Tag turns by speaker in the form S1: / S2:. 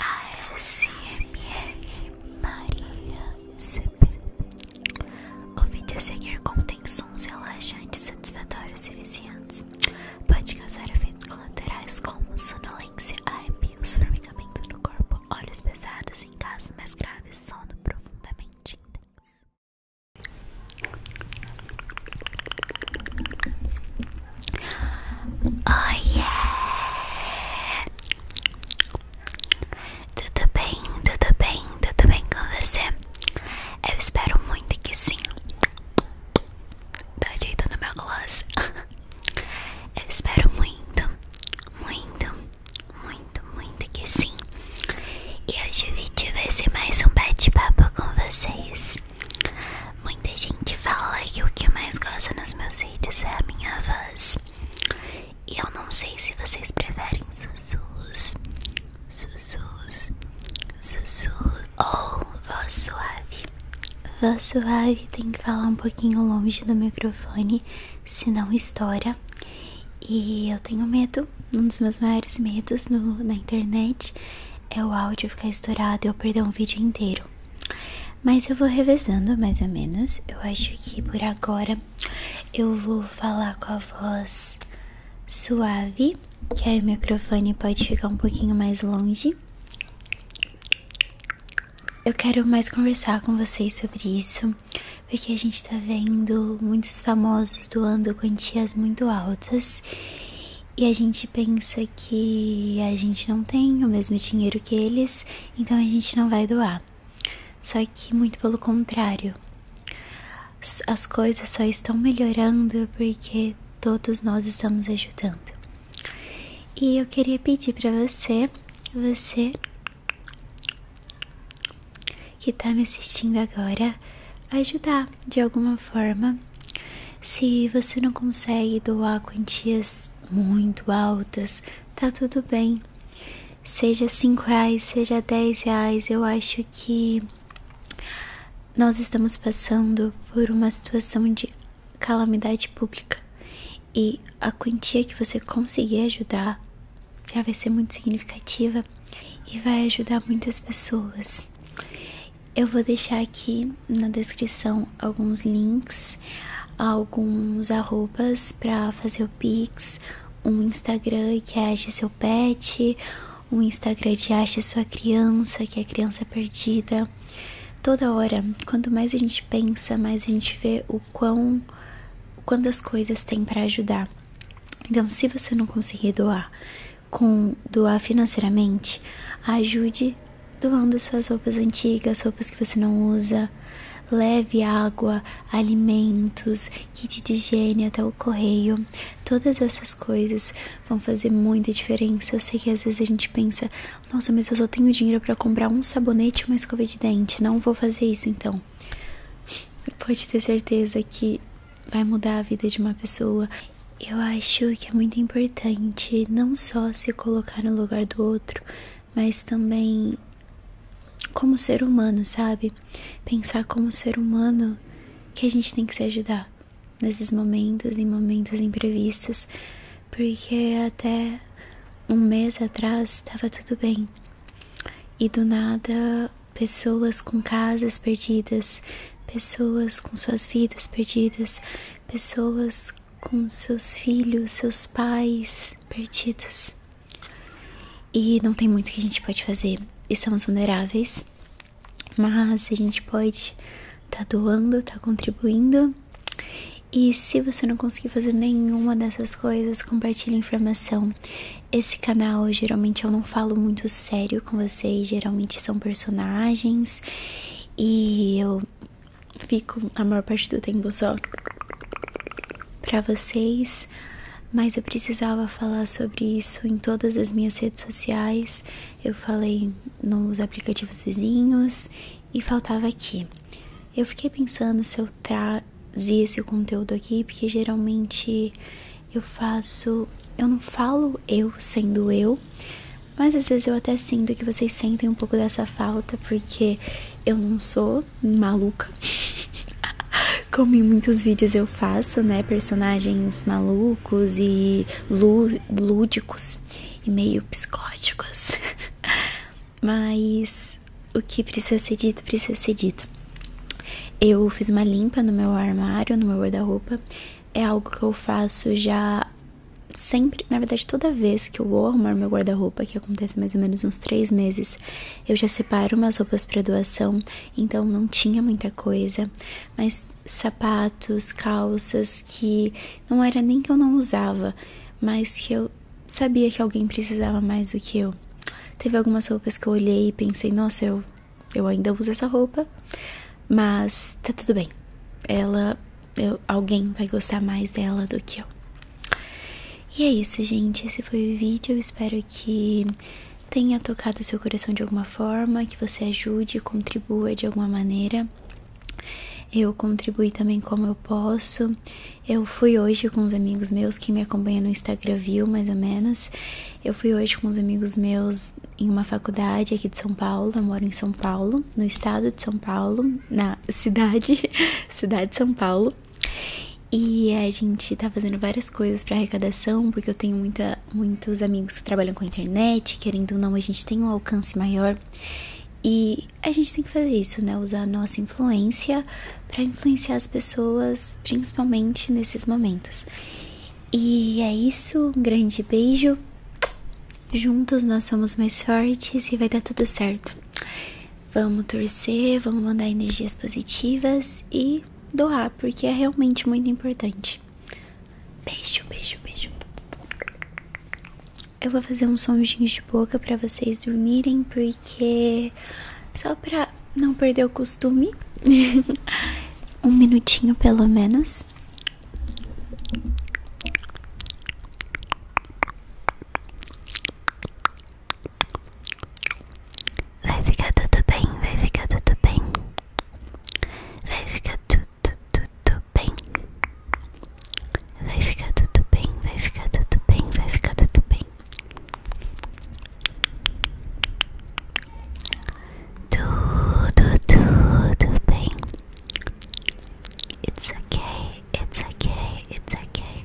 S1: A ASMR Maria CP. O vídeo a seguir contém sons relaxantes, satisfatórios e viciantes. Pode causar efeitos colaterais como sonolência, arrepios, formigamento no corpo, olhos pesados em casos mais graves, sono profundamente intenso. Oh yeah! Tudo bem, tudo bem, tudo bem com você? Eu espero muito que sim. Tá ajeitando meu gloss. Eu espero muito, muito, muito, muito que sim. E hoje o vídeo vai ser mais um bate-papo com vocês. Muita gente fala que o que eu mais gosta nos meus vídeos é a minha voz. E eu não sei se vocês preferem sussurros, sussurros, sussurros ou voz suave.
S2: Voz suave tem que falar um pouquinho longe do microfone, senão estoura. E eu tenho medo, um dos meus maiores medos na internet é o áudio ficar estourado e eu perder um vídeo inteiro. Mas eu vou revezando mais ou menos. Eu acho que por agora eu vou falar com a voz suave, que aí o microfone pode ficar um pouquinho mais longe. Eu quero mais conversar com vocês sobre isso, porque a gente tá vendo muitos famosos doando quantias muito altas e a gente pensa que a gente não tem o mesmo dinheiro que eles, então a gente não vai doar. Só que muito pelo contrário. As coisas só estão melhorando porque todos nós estamos ajudando. E eu queria pedir para você, você que está me assistindo agora, ajudar de alguma forma. Se você não consegue doar quantias muito altas, tá tudo bem. Seja 5 reais, seja 10 reais, eu acho que nós estamos passando por uma situação de calamidade pública e a quantia que você conseguir ajudar já vai ser muito significativa e vai ajudar muitas pessoas. Eu vou deixar aqui na descrição alguns links, alguns arrobas para fazer o Pix, um Instagram que é Ache Seu Pet, um Instagram de Ache Sua Criança, que é Criança Perdida. Toda hora, quanto mais a gente pensa, mais a gente vê o quão quantas coisas tem para ajudar. Então, se você não conseguir doar com doar financeiramente, ajude doando suas roupas antigas, roupas que você não usa. Leve água, alimentos, kit de higiene até o correio. Todas essas coisas vão fazer muita diferença. Eu sei que às vezes a gente pensa: nossa, mas eu só tenho dinheiro para comprar um sabonete e uma escova de dente. Não vou fazer isso então. Pode ter certeza que vai mudar a vida de uma pessoa eu acho que é muito importante não só se colocar no lugar do outro, mas também como ser humano, sabe? Pensar como ser humano que a gente tem que se ajudar nesses momentos, em momentos imprevistos, porque até um mês atrás estava tudo bem e do nada pessoas com casas perdidas, pessoas com suas vidas perdidas, pessoas com seus filhos, seus pais perdidos. E não tem muito que a gente pode fazer. Estamos vulneráveis, mas a gente pode tá doando, tá contribuindo. E se você não conseguir fazer nenhuma dessas coisas, compartilhe informação. Esse canal geralmente eu não falo muito sério, com vocês geralmente são personagens e eu fico a maior parte do tempo só para vocês, mas eu precisava falar sobre isso em todas as minhas redes sociais. Eu falei nos aplicativos vizinhos e faltava aqui. Eu fiquei pensando se eu trazia esse conteúdo aqui, porque geralmente eu faço. Eu não falo eu sendo eu, mas às vezes eu até sinto que vocês sentem um pouco dessa falta, porque eu não sou maluca. Como em muitos vídeos eu faço, né? Personagens malucos e lúdicos e meio psicóticos. mas o que precisa ser dito, precisa ser dito. Eu fiz uma limpa no meu armário, no meu guarda-roupa. É algo que eu faço já sempre, na verdade, toda vez que eu vou arrumar meu guarda-roupa, que acontece mais ou menos uns três meses, eu já separo umas roupas para doação, então não tinha muita coisa, mas sapatos, calças que não era nem que eu não usava, mas que eu sabia que alguém precisava mais do que eu. Teve algumas roupas que eu olhei e pensei, nossa, eu eu ainda uso essa roupa, mas tá tudo bem. Ela, alguém vai gostar mais dela do que eu. E é isso, gente. Esse foi o vídeo. Eu espero que tenha tocado o seu coração de alguma forma, que você ajude, contribua de alguma maneira. Eu contribuí também como eu posso. Eu fui hoje com os amigos meus que me acompanham no Instagram, viu, mais ou menos. Eu fui hoje com uns amigos meus em uma faculdade aqui de São Paulo, eu moro em São Paulo, no estado de São Paulo, na cidade, cidade de São Paulo. E a gente está fazendo várias coisas para arrecadação, porque eu tenho muita, muitos amigos que trabalham com a internet, querendo ou não, a gente tem um alcance maior. E a gente tem que fazer isso, né? Usar a nossa influência para influenciar as pessoas, principalmente nesses momentos. E é isso, um grande beijo. Juntos nós somos mais fortes e vai dar tudo certo. Vamos torcer, vamos mandar energias positivas e doar, porque é realmente muito importante. Beijo, beijo, beijo. Eu vou fazer uns sonjinhos de boca para vocês dormirem, porque só pra não perdeu o costume. um minutinho pelo menos. Vai ficar tudo bem, vai ficar tudo bem. Vai ficar tudo, tudo bem. Vai ficar tudo bem, vai ficar tudo bem, vai ficar tudo bem. Do do do do pain. It's okay. It's okay. It's okay.